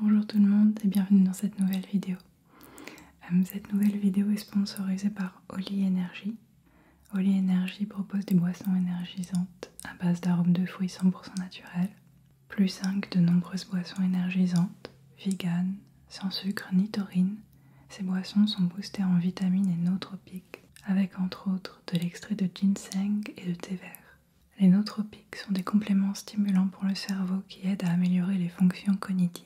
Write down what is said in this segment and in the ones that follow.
Bonjour tout le monde et bienvenue dans cette nouvelle vidéo. Euh, cette nouvelle vidéo est sponsorisée par Oli Energy. Oli Energy propose des boissons énergisantes à base d'arômes de fruits 100% naturels, plus 5 de nombreuses boissons énergisantes, véganes. Sans sucre ni taurine, ces boissons sont boostées en vitamines et nootropiques, avec entre autres de l'extrait de ginseng et de thé vert. Les nootropiques sont des compléments stimulants pour le cerveau qui aident à améliorer les fonctions cognitives.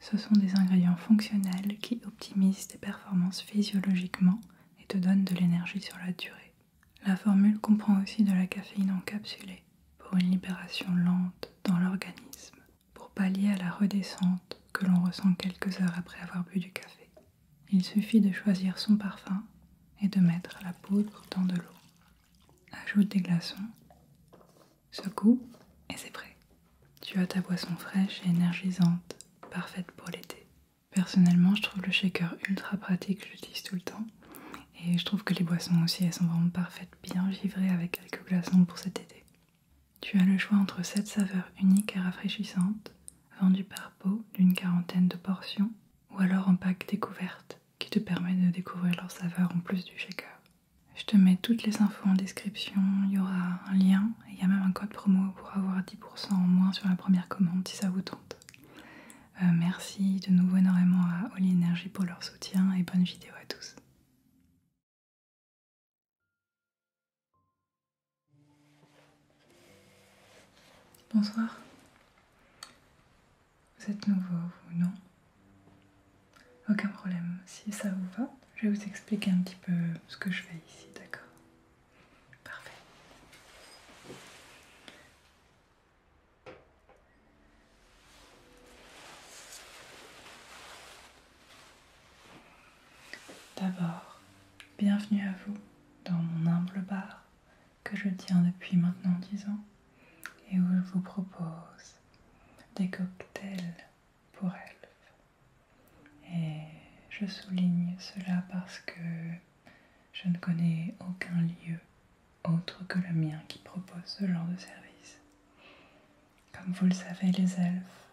Ce sont des ingrédients fonctionnels qui optimisent tes performances physiologiquement et te donnent de l'énergie sur la durée. La formule comprend aussi de la caféine encapsulée pour une libération lente dans l'organisme pour pallier à la redescente que l'on ressent quelques heures après avoir bu du café. Il suffit de choisir son parfum et de mettre la poudre dans de l'eau. Ajoute des glaçons, secoue et c'est prêt. Tu as ta boisson fraîche et énergisante, parfaite pour l'été. Personnellement, je trouve le shaker ultra pratique, je l'utilise tout le temps. Et je trouve que les boissons aussi, elles sont vraiment parfaites, bien givrées avec quelques glaçons pour cet été. Tu as le choix entre 7 saveurs uniques et rafraîchissantes, vendues par pot d'une quarantaine de portions, ou alors en pack découverte, qui te permet de découvrir leurs saveurs en plus du shaker. Je te mets toutes les infos en description, il y aura un lien et il y a même un code promo pour avoir 10% en moins sur la première commande si ça vous tente. Euh, merci de nouveau énormément à All Energy pour leur soutien et bonne vidéo à tous. Bonsoir. Vous êtes nouveau, ou non Aucun problème. Si ça vous va, je vais vous expliquer un petit peu ce que je fais ici, d'accord Parfait. D'abord, bienvenue à vous dans mon humble bar que je tiens depuis maintenant 10 ans et où je vous propose des cocktails pour elfes. Et je souligne cela parce que je ne connais aucun lieu autre que le mien qui propose ce genre de service. Comme vous le savez, les elfes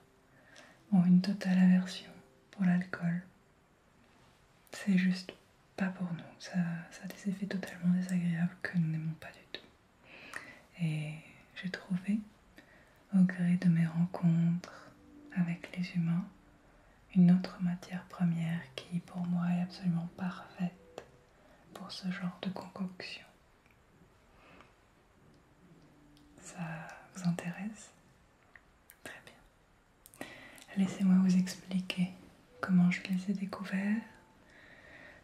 ont une totale aversion pour l'alcool. C'est juste pas pour nous. Ça, a des effets totalement désagréables que nous n'aimons pas du tout. Et j'ai trouvé, au gré de mes rencontres avec les humains, une autre matière première qui pour moi est absolument parfaite pour ce genre de concoction. Ça vous intéresse Très bien. Laissez-moi vous expliquer comment je les ai découverts.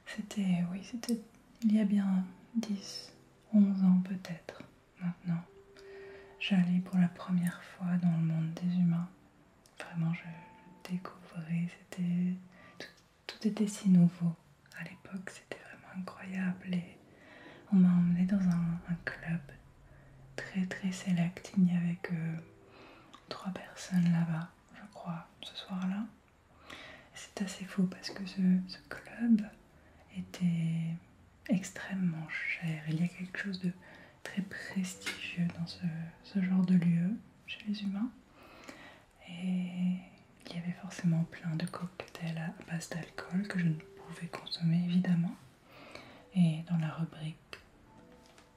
C'était, oui, c'était il y a bien 10, 11 ans peut-être maintenant. J'allais pour la première fois dans le monde des humains. Vraiment, je découvrais, c'était tout était si nouveau. À l'époque, c'était vraiment incroyable et on m'a emmené dans un, club très très select. Il n'y avait que trois personnes là-bas, je crois, ce soir-là. C'est assez fou parce que ce, club était extrêmement cher. Il y a quelque chose de très prestigieux dans ce genre de lieu chez les humains. Et il y avait forcément plein de cocktails à base d'alcool que je ne pouvais consommer évidemment. Et dans la rubrique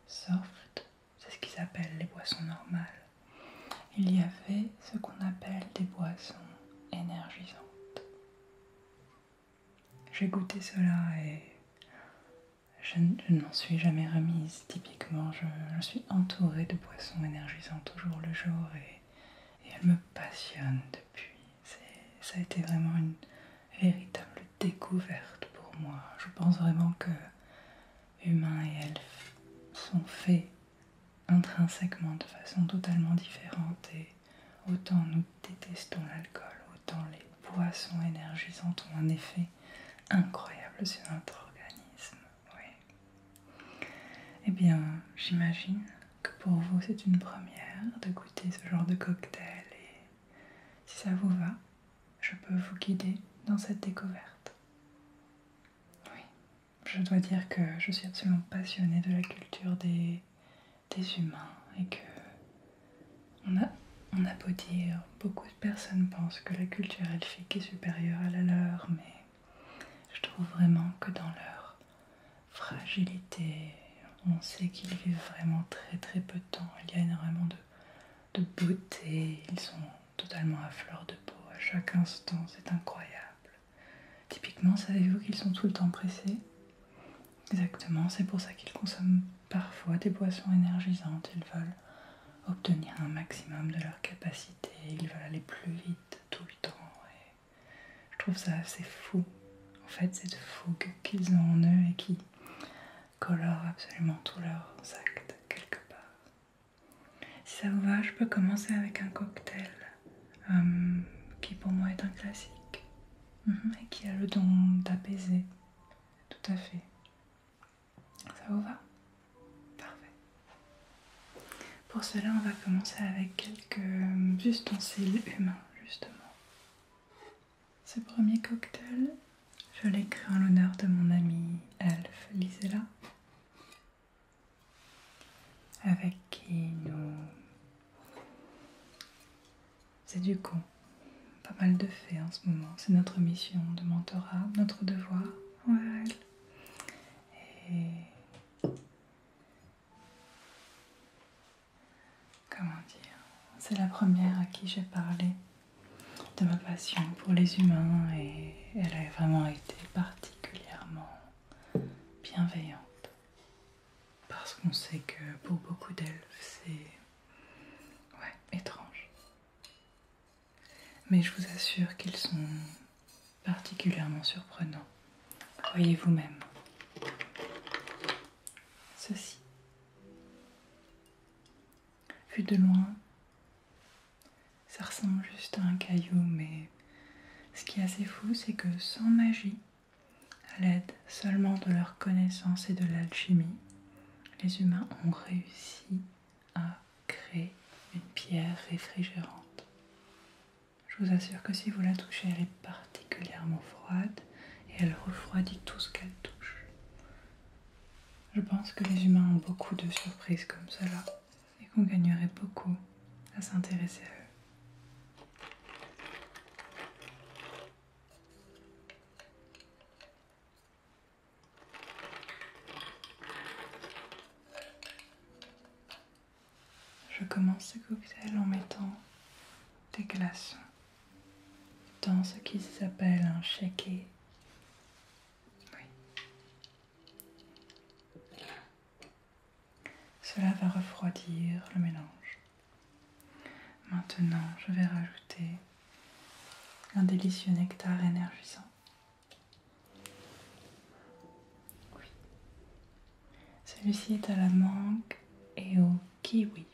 soft, c'est ce qu'ils appellent les boissons normales, il y avait ce qu'on appelle des boissons énergisantes. J'ai goûté cela et je, n'en suis jamais remise typiquement je, suis entourée de boissons énergisantes toujours le jour et, et elles me passionnent depuis. Ça a été vraiment une véritable découverte pour moi. Je pense vraiment que humains et elfes sont faits intrinsèquement de façon totalement différente et autant nous détestons l'alcool, autant les boissons énergisantes ont un effet incroyable sur notre organisme oui. Eh bien, j'imagine que pour vous c'est une première de goûter ce genre de cocktail et si ça vous va, je peux vous guider dans cette découverte. Oui, je dois dire que je suis absolument passionnée de la culture des, humains et que on a, on a beau dire beaucoup de personnes pensent que la culture elfique est supérieure à la leur, mais je trouve vraiment que dans leur fragilité, on sait qu'ils vivent vraiment très très peu de temps. Il y a énormément de, beauté, ils sont totalement à fleur de peau à chaque instant, c'est incroyable. Typiquement, savez-vous qu'ils sont tout le temps pressés Exactement, c'est pour ça qu'ils consomment parfois des boissons énergisantes, ils veulent obtenir un maximum de leur capacité, ils veulent aller plus vite tout le temps. Et je trouve ça assez fou, en fait, c'est de fougue qu'ils ont en eux et qui colore absolument tous leurs actes quelque part. Si ça vous va, je peux commencer avec un cocktail euh, qui pour moi est un classique mm-hmm, et qui a le don d'apaiser. Tout à fait. Ça vous va Parfait. Pour cela, on va commencer avec quelques euh, ustensiles humains, justement. Ce premier cocktail, je l'ai créé en l'honneur de mon amie Elf Lisella. avec qui nous C'est du con pas mal de faits en ce moment. C'est notre mission de mentorat, notre devoir Et comment dire C'est la première à qui j'ai parlé de ma passion pour les humains et elle a vraiment été particulièrement bienveillante. Parce qu'on sait que pour beaucoup d'elfes, c'est ouais, étrange mais je vous assure qu'ils sont particulièrement surprenants. Voyez vous-même. Ceci. Vu de loin, ça ressemble juste à un caillou, mais ce qui est assez fou, c'est que sans magie, à l'aide seulement de leur connaissance et de l'alchimie, les humains ont réussi à créer une pierre réfrigérante. Je vous assure que si vous la touchez, elle est particulièrement froide et elle refroidit tout ce qu'elle touche. Je pense que les humains ont beaucoup de surprises comme cela et qu'on gagnerait beaucoup à s'intéresser à eux. Je commence ce cocktail en mettant des glaçons dans ce qui s'appelle un shaker. Cela va refroidir le mélange. Maintenant, je vais rajouter un délicieux nectar énergisant. Oui. Celui-ci est à la mangue et au kiwi,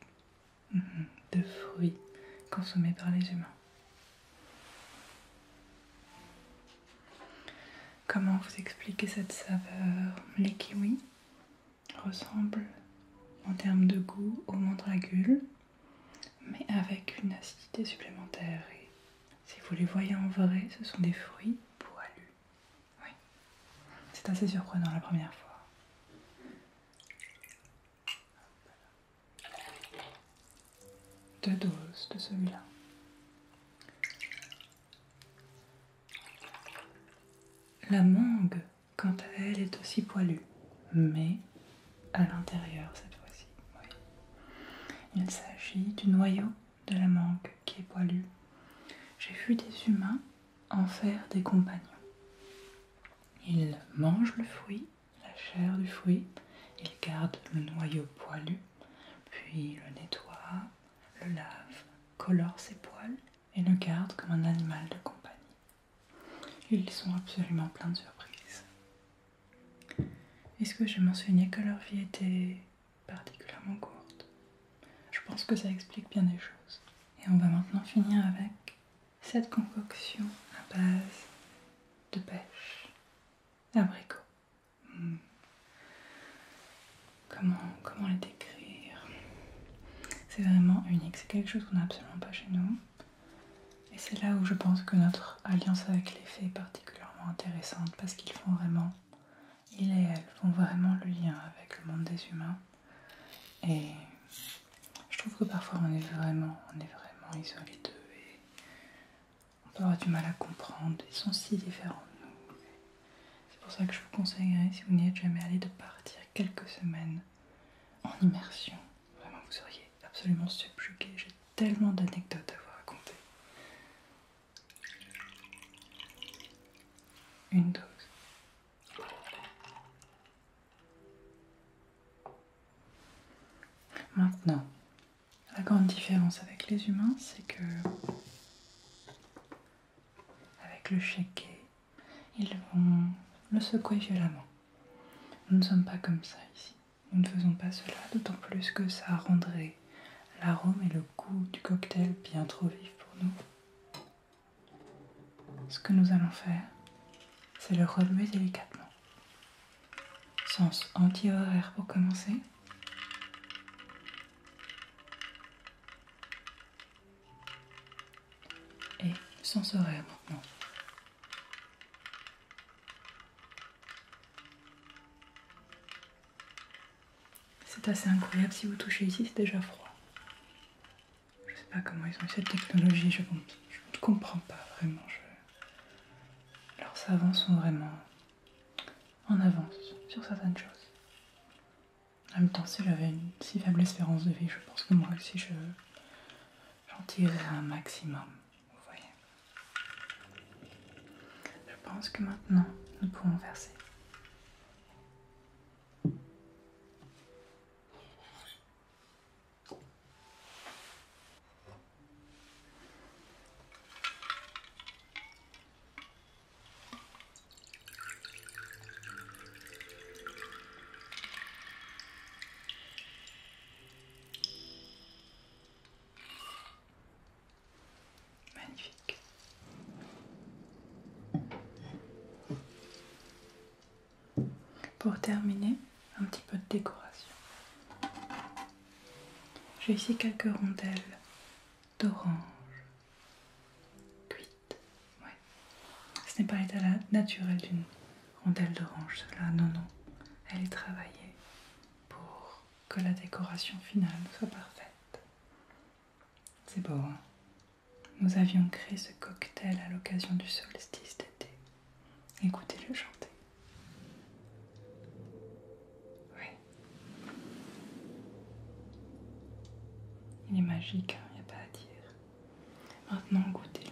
mhm. De fruits consommés par les humains. Comment vous expliquer cette saveur Les kiwis ressemblent en termes de goût au mandragules mais avec une acidité supplémentaire. Et si vous les voyez en vrai, ce sont des fruits poilus. Oui, c'est assez surprenant la première fois. Deux doses de celui-là. La mangue quant à elle, est aussi poilue, mais à l'intérieur cette fois-ci. Il s'agit du noyau de la mangue qui est poilu. J'ai vu des humains en faire des compagnons. Ils mangent le fruit, la chair du fruit, ils gardent le noyau poilu, puis le nettoient, le lavent, colorent ses poils et le gardent comme un animal de compagnie. Ils sont absolument pleins de surprises. Est-ce que j'ai mentionné que leur vie était particulièrement courte Je pense que ça explique bien des choses. Et on va maintenant finir avec cette concoction à base de pêche, abricot. Hmm. Comment, comment décrire C'est vraiment unique. C'est quelque chose qu'on n'a absolument pas chez nous. Et c'est là où je pense que notre alliance avec les fées est particulièrement intéressante parce qu'ils font vraiment, il et font vraiment le lien avec le monde des humains. Et je trouve que parfois on est vraiment, on est vraiment isolés d'eux et on peut avoir du mal à comprendre. Ils sont si différents de nous. C'est pour ça que je vous conseillerais, si vous n'y êtes jamais allé, de partir quelques semaines en immersion. Vraiment, vous seriez absolument subjugué. J'ai tellement d'anecdotes à vous raconter. Une dose. Maintenant, la grande différence avec les humains, c'est que avec le shaker, ils vont le secouer violemment. Nous ne sommes pas comme ça ici. Nous ne faisons pas cela, d'autant plus que ça rendrait l'arôme et le goût du cocktail bien trop vifs pour nous. Ce que nous allons faire, c'est le relever délicatement. Sens anti-horaire pour commencer et sans horaire maintenant. C'est assez incroyable si vous touchez ici, c'est déjà froid. Je sais pas comment ils ont eu cette technologie, je ne comprends pas vraiment. Alors, Leurs savants sont vraiment en avance sur certaines choses. En même temps, si j'avais une si faible espérance de vie, je pense que moi aussi je j'en tirerais un maximum. Vous voyez. Je pense que maintenant nous pouvons verser. Magnifique. Pour terminer, un petit peu de décoration. J'ai ici quelques rondelles d'orange cuites. Ce n'est pas l'état naturel d'une rondelle d'orange, cela, non, non. Elle est travaillée pour que la décoration finale soit parfaite. C'est beau, hein Nous avions créé ce cocktail à l'occasion du solstice d'été. Écoutez-le chanter. Oui. Il est magique, hein, il n'y a pas à dire. Maintenant, goûtez-le.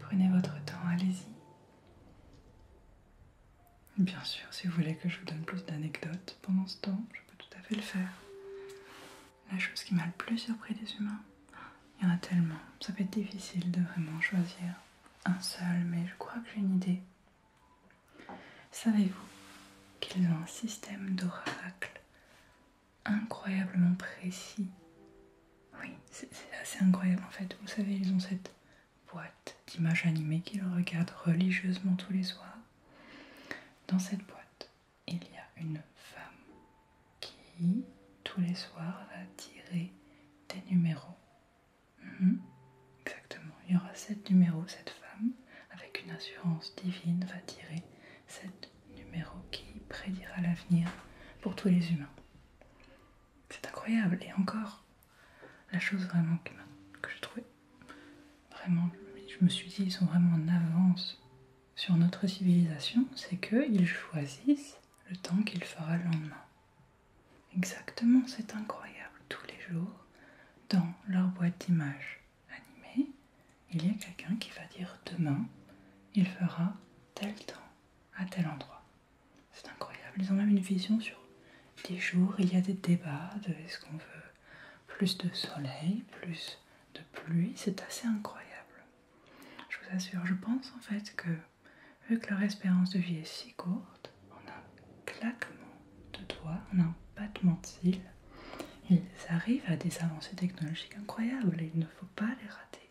Prenez votre temps, allez-y. Bien sûr, si vous voulez que je vous donne plus d'anecdotes pendant ce temps, je peux tout à fait le faire. La chose qui m'a le plus surpris des humains, il y en a tellement, ça peut être difficile de vraiment choisir un seul, mais je crois que j'ai une idée. Savez-vous qu'ils ont un système d'oracle incroyablement précis Oui, c'est assez incroyable en fait. Vous savez, ils ont cette boîte d'images animées qu'il regarde religieusement tous les soirs. Dans cette boîte, il y a une femme qui, tous les soirs, va tirer des numéros. Mhm, exactement, il y aura sept numéros. Cette femme, avec une assurance divine, va tirer sept numéros qui prédira l'avenir pour tous les humains. C'est incroyable, et encore, la chose vraiment que, je trouvais vraiment, je me suis dit, ils sont vraiment en avance sur notre civilisation, c'est qu'ils choisissent le temps qu'il fera le lendemain. Exactement, c'est incroyable. Tous les jours, dans leur boîte d'images animée, il y a quelqu'un qui va dire demain, il fera tel temps à tel endroit. C'est incroyable. Ils ont même une vision sur des jours. Il y a des débats de est-ce qu'on veut plus de soleil, plus de pluie. C'est assez incroyable. Je vous assure, je pense en fait que vu que leur espérance de vie est si courte, en un claquement de doigts, en un battement de cils, ils arrivent à des avancées technologiques incroyables et il ne faut pas les rater.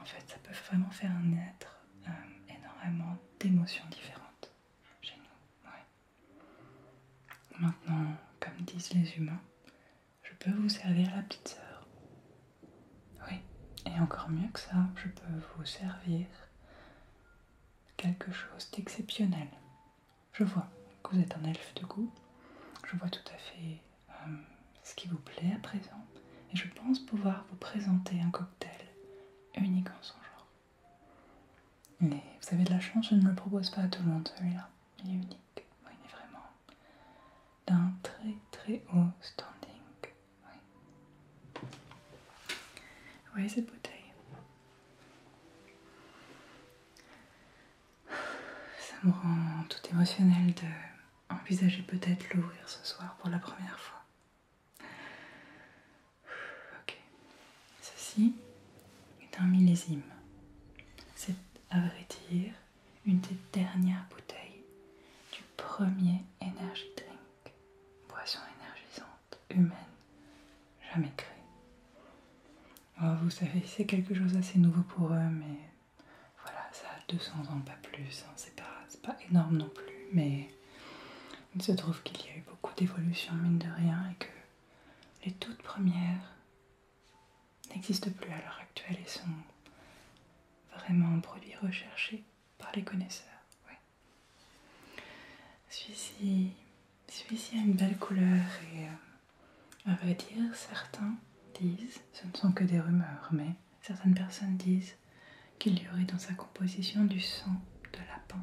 en fait, ça peut vraiment faire naître euh, énormément d'émotions différentes chez nous. Maintenant, comme disent les humains, je peux vous servir la petite sœur. Oui, et encore mieux que ça, je peux vous servir quelque chose d'exceptionnel. Je vois que vous êtes un elfe de goût. Je vois tout à fait euh, ce qui vous plaît à présent et je pense pouvoir vous présenter un cocktail unique en son genre. Mais vous avez de la chance, je ne le propose pas à tout le monde celui-là. Il est unique, il est vraiment d'un très très haut standing. Oui. Vous voyez cette bouteille Ça me rend tout émotionnel de envisager peut-être l'ouvrir ce soir pour la première fois. Ok, ceci est un millésime. C'est à vrai dire une des dernières bouteilles du premier Energy Drink, boisson énergisante humaine jamais créée. vous savez, c'est quelque chose d'assez nouveau pour eux, mais voilà, ça a 200 ans, pas plus, hein, c'est pas, pas énorme non plus, mais il se trouve qu'il y a eu beaucoup d'évolutions, mine de rien, et que les toutes premières n'existent plus à l'heure actuelle et sont vraiment un produit recherché par les connaisseurs. Celui-ci a une belle couleur et, euh, à vrai dire, certains disent, ce ne sont que des rumeurs, mais certaines personnes disent qu'il y aurait dans sa composition du sang de lapin.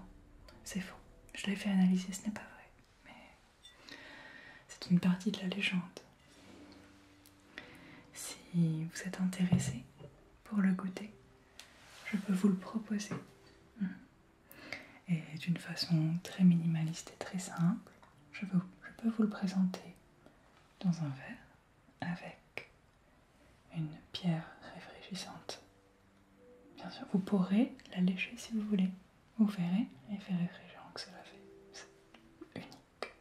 C'est faux. Je l'ai fait analyser, ce n'est pas vrai. Mais c'est une partie de la légende. Si vous êtes intéressé pour le goûter, je peux vous le proposer. Mm. Et d'une façon très minimaliste et très simple, je, je peux vous le présenter dans un verre avec une pierre réfrigérante. Bien sûr, vous pourrez la lécher si vous voulez. Vous verrez l'effet réfrigérant que cela fait. C'est unique.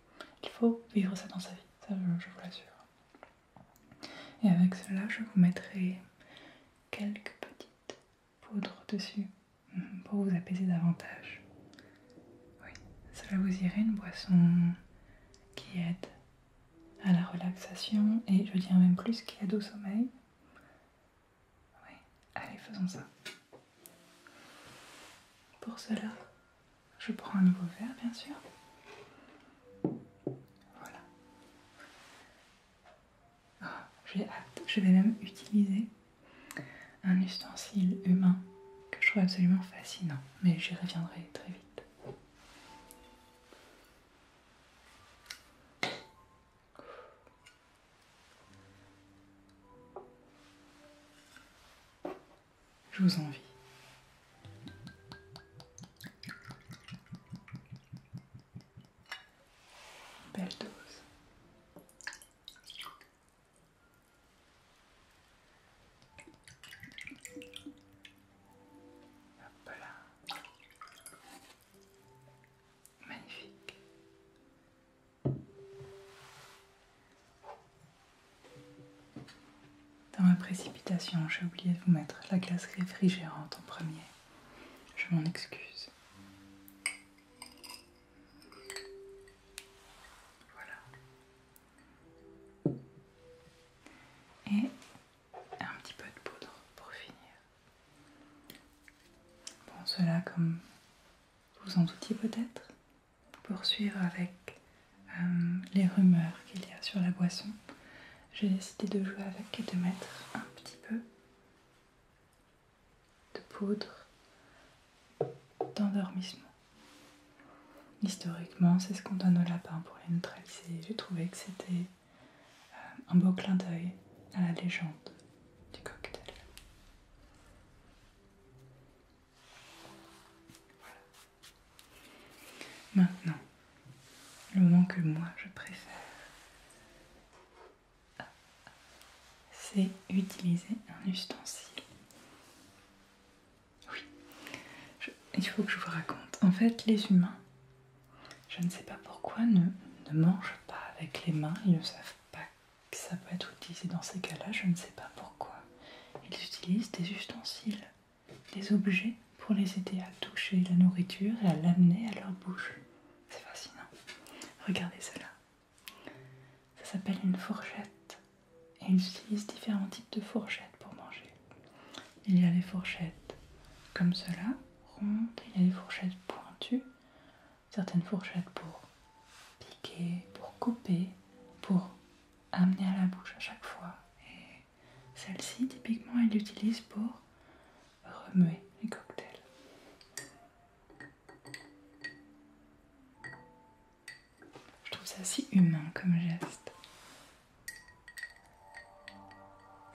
Il faut vivre ça dans sa vie, ça je vous l'assure. Et avec cela, je vous mettrai quelques petites poudres dessus mm, pour vous apaiser davantage. Oui, cela vous irait une boisson qui aide à la relaxation et je dirais même plus qui aide au sommeil. Oui, allez, faisons ça. Pour cela, je prends un nouveau verre, bien sûr. Voilà. Oh, j'ai hâte, je vais même utiliser un ustensile humain que je trouve absolument fascinant, mais j'y reviendrai très vite. Je vous envie. Belle dose. Magnifique. Dans ma précipitation, j'ai oublié de vous mettre la glace réfrigérante en premier. Je m'en excuse. Voilà et un petit peu de poudre pour finir. Bon, cela, comme vous en doutiez peut-être, poursuivre avec euh, les rumeurs qu'il y a sur la boisson, j'ai décidé de jouer avec et de mettre un petit peu de poudre d'endormissement. Historiquement, c'est ce qu'on donne aux lapins pour les neutraliser. J'ai trouvé que c'était euh, un beau clin d'œil à la légende du cocktail. Maintenant, le moment que moi je préfère, c'est utiliser un ustensile oui, il faut que je vous raconte. En fait, les humains, je ne sais pas pourquoi, ne mangent pas avec les mains. Ils ne savent pas que ça peut être utilisé dans ces cas-là. Je ne sais pas pourquoi. Ils utilisent des ustensiles, des objets pour les aider à toucher la nourriture et à l'amener à leur bouche. C'est fascinant. Regardez cela. Ça s'appelle une fourchette. Et utilisent différents types de fourchettes pour manger. Il y a les fourchettes comme cela, rondes, il y a les fourchettes pointues, certaines fourchettes pour piquer, pour couper, pour amener à la bouche à chaque fois. Et celle-ci, typiquement, elle l'utilise pour remuer les cocktails. Je trouve ça si humain comme geste.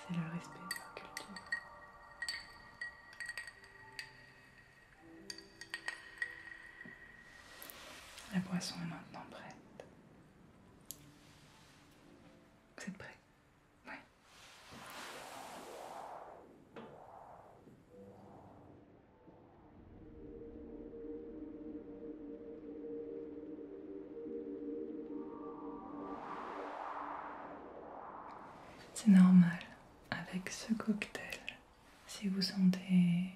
C'est le respect de la culture. La boisson est maintenant prête. Vous êtes prêts Oui. C'est normal avec ce cocktail si vous sentez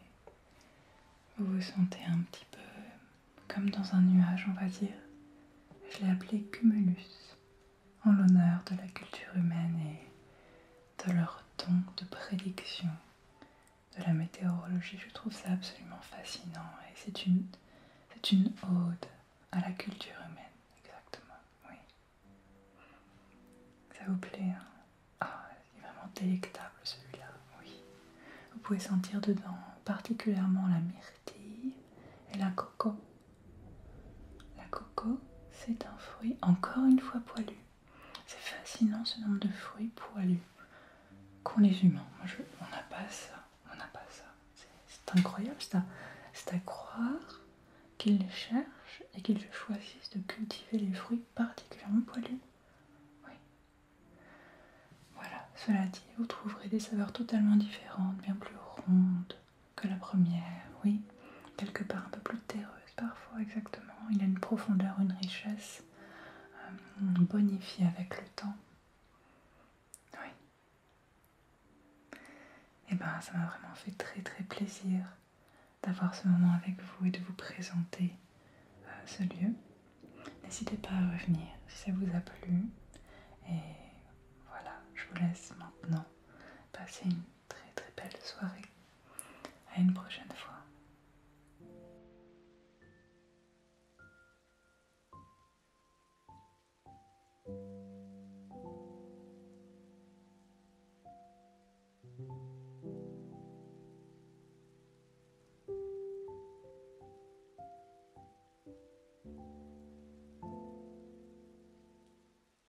vous vous sentez un petit peu comme dans un nuage, on va dire. Je l'ai appelé cumulus en l'honneur de la culture humaine et de leur ton de prédiction de la météorologie. Je trouve ça absolument fascinant et c'est une, une ode à la culture humaine, exactement, oui. Ça vous plaît hein Ah, il vraiment délectable celui-là, oui. Vous pouvez sentir dedans particulièrement la myrtille et la coco. La coco, c'est un fruit encore une fois poilu c'est fascinant ce nombre de fruits poilus qu'ont les humains. on n'a pas ça. On n'a pas ça. C'est incroyable. C'est à, croire qu'ils les cherchent et qu'ils choisissent de cultiver les fruits particulièrement poilus. Oui. Voilà. Cela dit, vous trouverez des saveurs totalement différentes, bien plus rondes, que la première, oui, quelque part un peu plus terreuse parfois, exactement. Il a une profondeur, une richesse euh, bonifie bonifiée avec le temps. Oui. Et eh ben, ça m'a vraiment fait très très plaisir d'avoir ce moment avec vous et de vous présenter euh, ce lieu. N'hésitez pas à revenir si ça vous a plu. Et voilà, je vous laisse maintenant passer une très très belle soirée. À une prochaine fois.